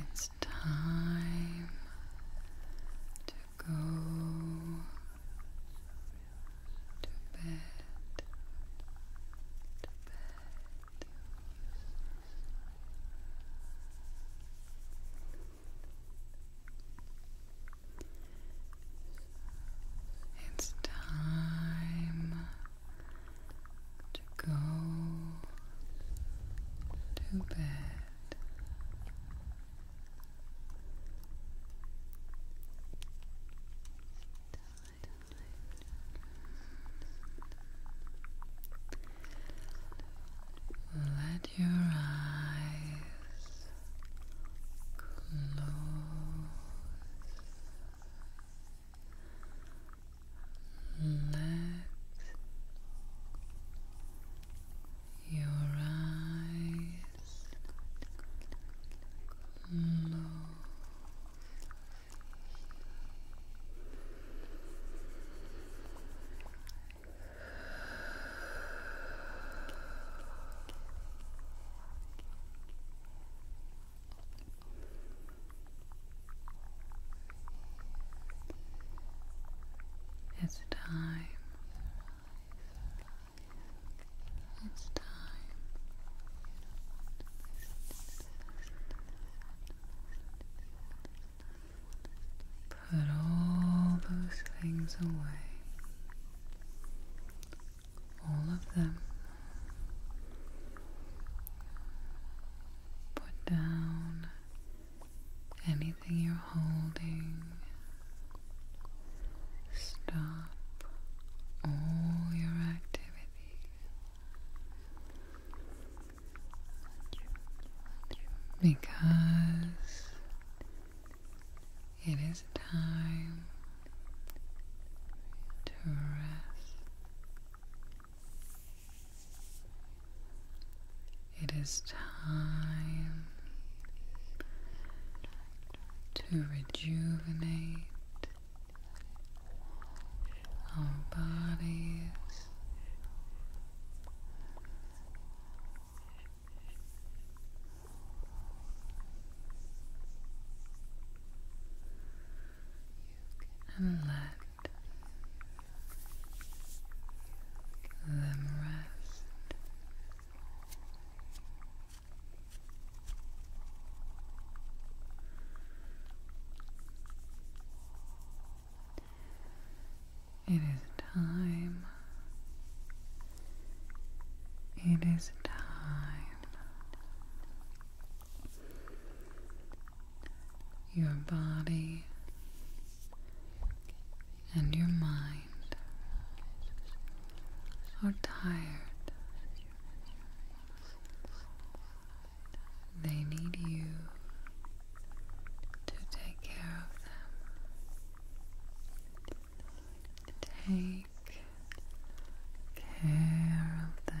It's time to go to bed. To bed. It's time go to bed. Let your eyes close let your eyes move. It's time. It's time. Put all those things away. All of them. Put down anything you're holding. Stop all your activity. Because it is time to rest. It is time to rejuvenate our bodies. And let them rest. It is time. It is time your body, and your mind are tired. They need you to take care of them. Take care of them.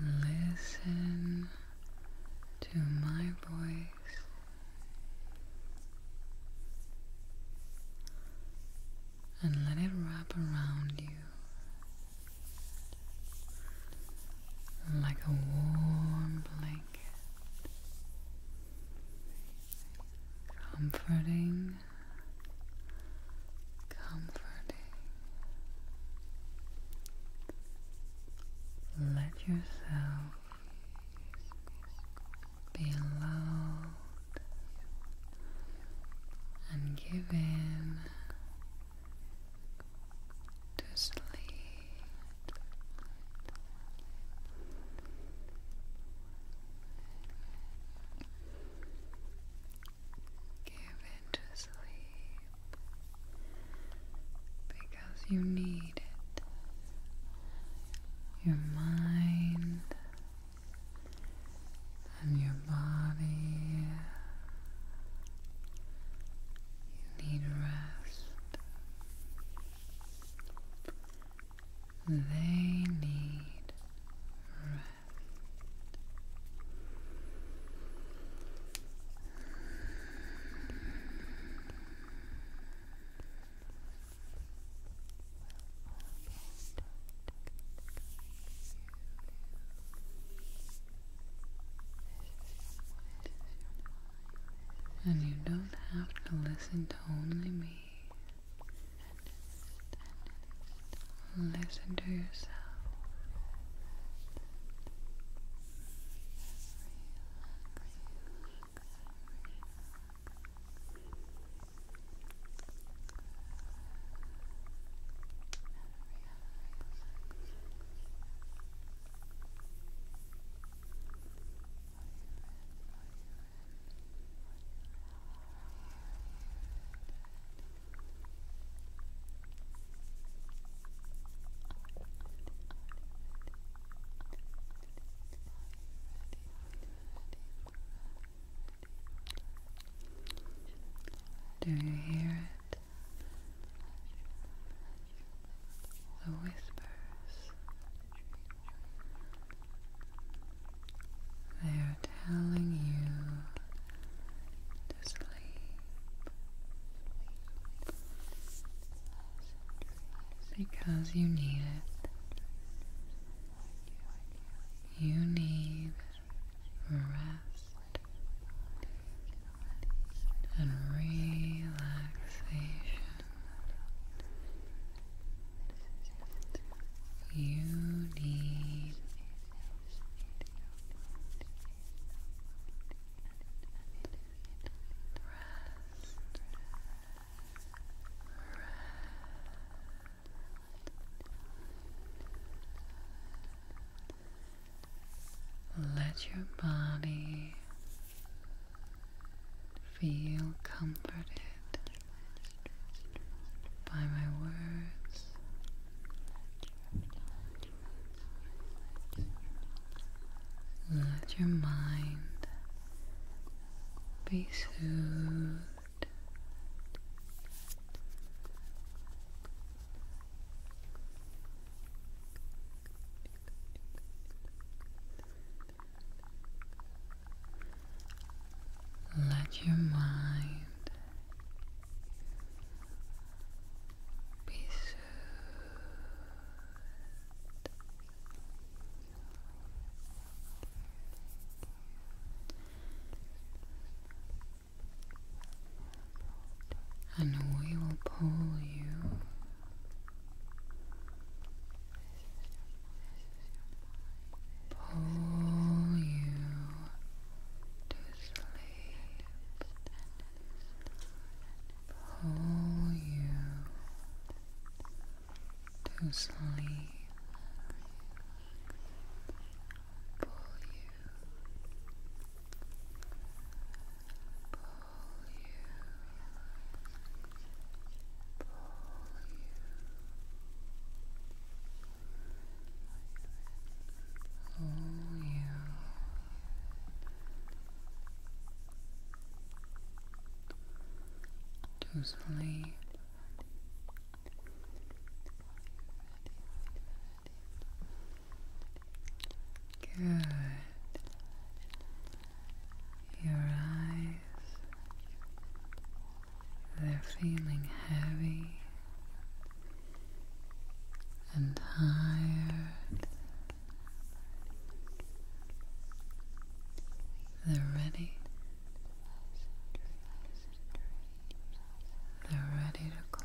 Listen to my voice. And let it wrap around you like a warm blanket comforting, comforting. Let yourself be allowed and give in to sleep. Give it to sleep because you need it. Your mind and your body. You need rest. They need rest. And you don't have to listen to only me. Listen to yourself. Do you hear it? The whispers they're telling you to sleep. Because you need it. You need rest and relaxation. You need Let your body Feel comforted by my words. Let your mind be soothed. Let your mind be soothed. And we will pull you pull you to sleep, pull you to sleep, pull you, pull you pull you, pull you. To sleep. Good your eyes, they're feeling heavy and tired. They're ready. They're ready to close.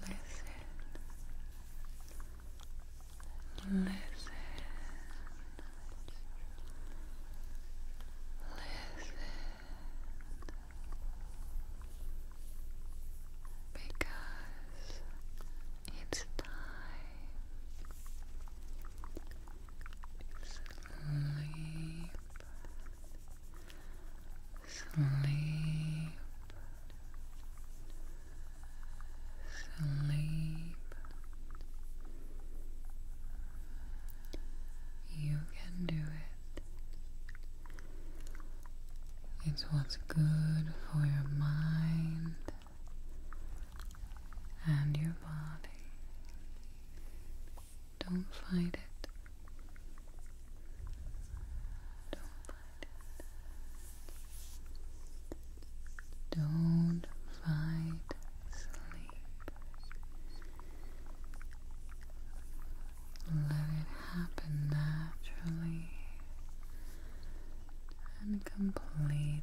Listen. Listen. Listen. Because it's time sleep, sleep, sleep. You can do it. It's what's good for your mind and your body. Don't fight it. Don't fight it. Don't fight sleep. Let it happen naturally and completely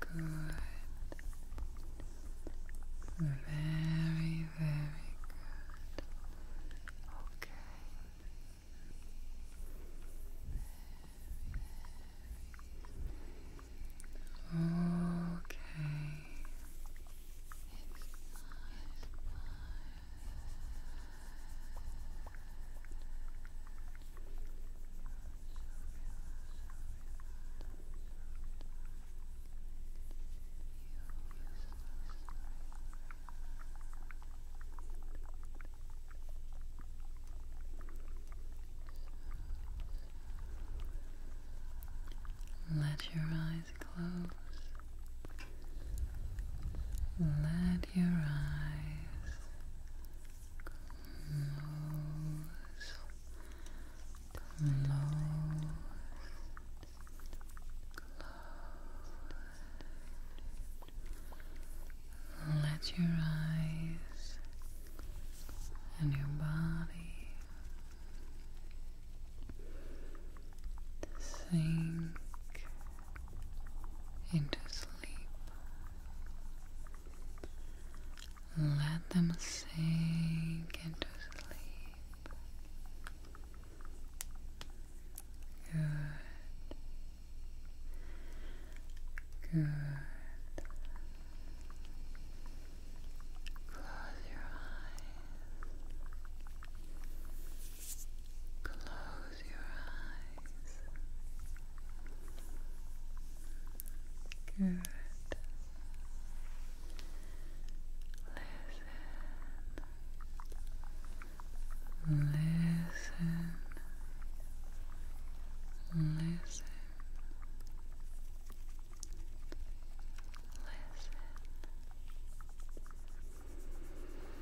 Good. Very, very good. Okay. Okay. Let your eyes eyes close. Let your eyes close. Close. Close. Let your eyes and your body sink into sleep. Let them sink into sleep. Good. Good. Close your eyes. Close your eyes. Good. Listen. Listen. Listen. Listen.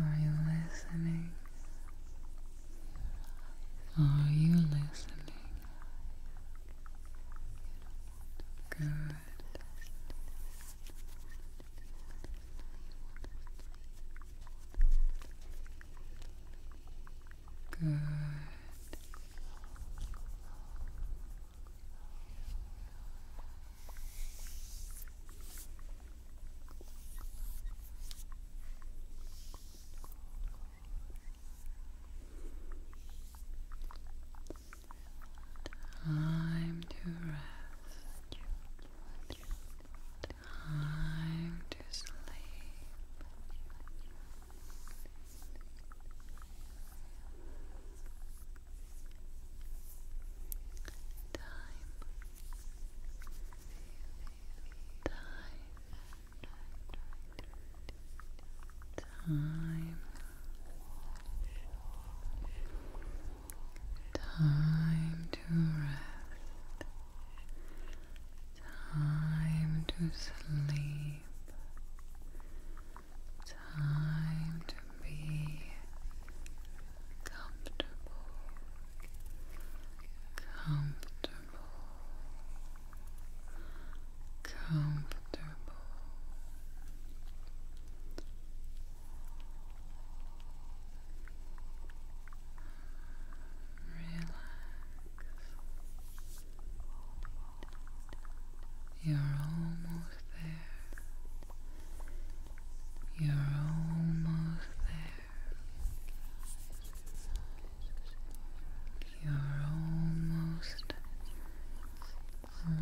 Are you listening? Are you listening? Good. Good. Time to rest. Time to sleep time time to rest time to sleep Time to be comfortable, comfortable, comfortable. Relax. You're almost there. You're almost there. You're almost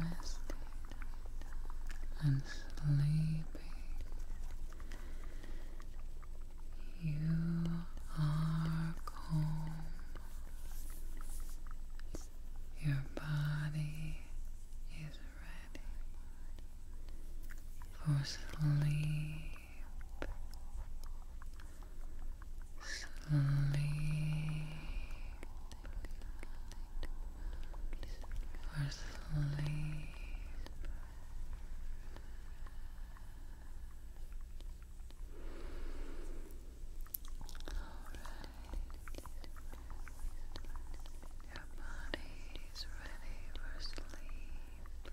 rested and sleepy. You are calm your body is ready for sleep. Sleep. For sleep. Your body is ready for sleep.